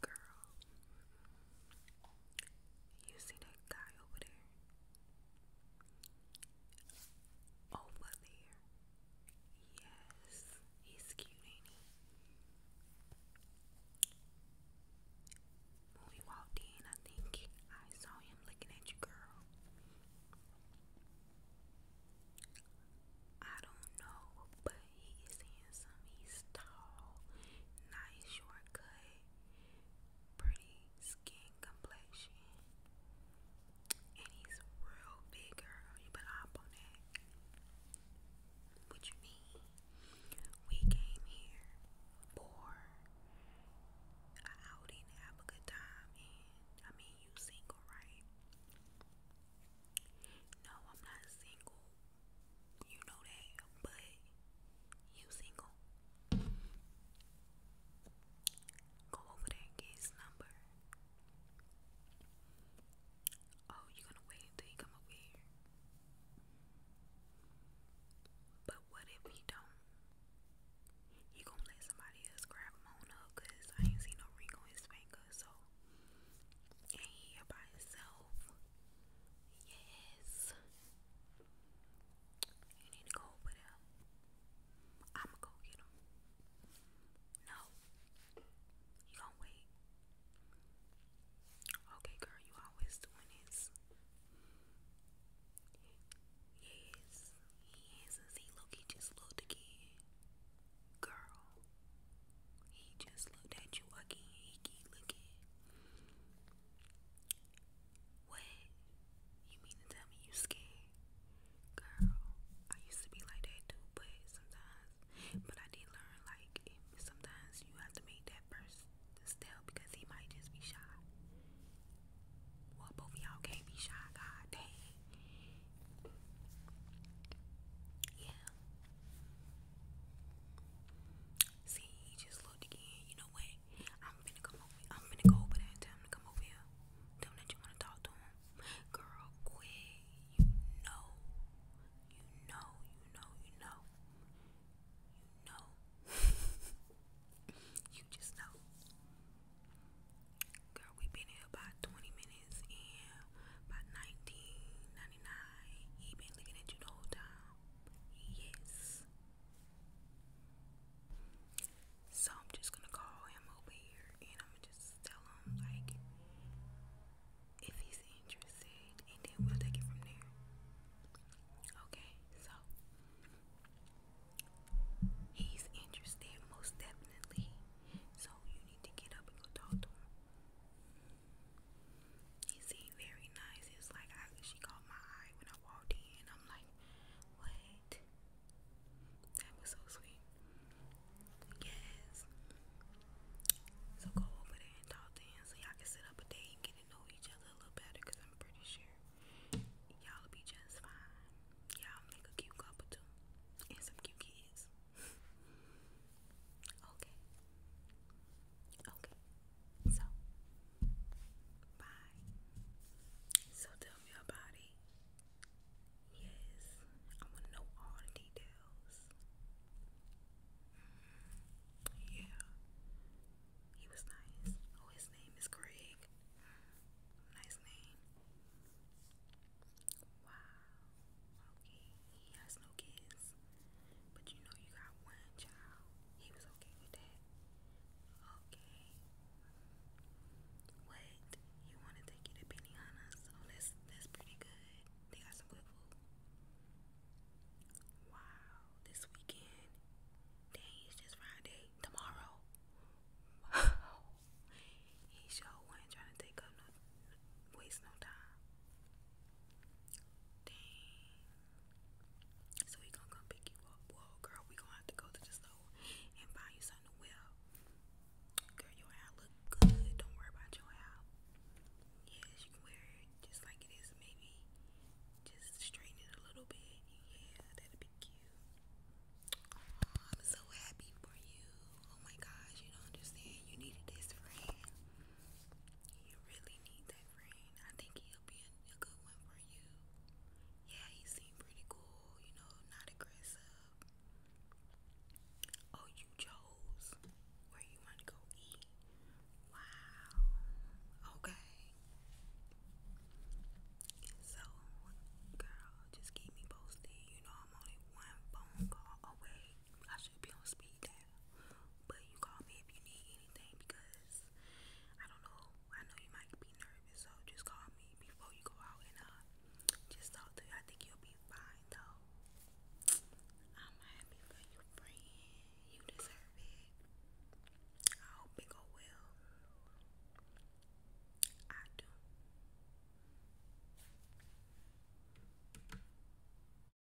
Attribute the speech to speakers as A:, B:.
A: Girl, you see that guy over there? Over there. Yes, he's cute, ain't he? When we walked in, I think I saw him looking at you, girl. I don't know, but he handsome. He's tall, nice shortcut, pretty skin complexion, and he's real big, girl. You better hop on that. What you mean? We came here for an outing to have a good time, and I mean you single, right? No, I'm not single. You know that, but you single. Go over there get his number. Oh, you gonna wait until he come over here. But what if he don't? He gonna let somebody else grab him because I ain't seen no ring on his finger, so. And here by himself. Yes. You need to go over there. I'ma go get him. No. You gonna wait. Okay, girl, you always doing this. Yes, he is. See, look, he just looked again. Girl, he just looked at you again. He keep looking. What? You mean to tell me you scared? Girl, I used to be like that too, but sometimes, but I did learn like sometimes you have to make that first this because he might just be shy. Well, both of all can't be shy, god dang. Yeah. See, he just looked again. You know what? I'm finna come over. I'm finna go over there and tell him to come over here. Tell him that you wanna talk to him. Girl, quit. You know. You know, you know, you know. You know. you just know. Girl, we been here about 20 minutes and by 1999, he been looking at you the whole time. Yes. So I'm just gonna call him over here and I'm gonna just tell him like if he's interested, and then we'll take it from there. Okay, so he's interested most definitely. So you need to get up and go talk to him. He seemed very nice. It was like she caught my eye when I walked in. I'm like, what? That was so sweet. Yes. So go over there and talk to him so y'all can sit up a day and get to know each other a little better because I'm pretty sure y'all will be just fine. Y'all make a cute couple too. And some cute kids. okay. Okay. So bye. So tell me about it. Yes, I want to know all the details. yeah, he was nice. Oh, his name oh, is Craig. nice name. Wow. Okay, he has no kids, but you know you got one child. He was okay with that. Okay, what? You want to take you to Piniana's? Oh, that's that's pretty good. They got some good food. Wow, this weekend. Dang, it's just Friday. Tomorrow. He sure was to take up no, waste no time. Dang. So he gonna come pick you up. Whoa, girl, we gonna have to go to this and buy you something to Girl, your hair look good. Don't worry about your hair. Yes, you can wear it just like it is. Maybe just straighten it a little bit. Yeah, that'd be cute. Oh, I'm so happy for you. Oh my gosh, you don't understand. You needed this friend. You really need I think he'll be a, good one for you. Yeah, he seemed pretty cool, you know, not aggressive. Oh, you chose where you want to go eat.
B: Wow. Okay. So,
A: girl, just keep me posted. You know, I'm only one phone call away. I should be on speed dial. But you call me if you need anything because I don't know. I know you might be nervous, so just call me before you go out and uh, just talk to I think you'll be fine though. I'm happy for you, friend. You deserve it. I hope it go well. I do.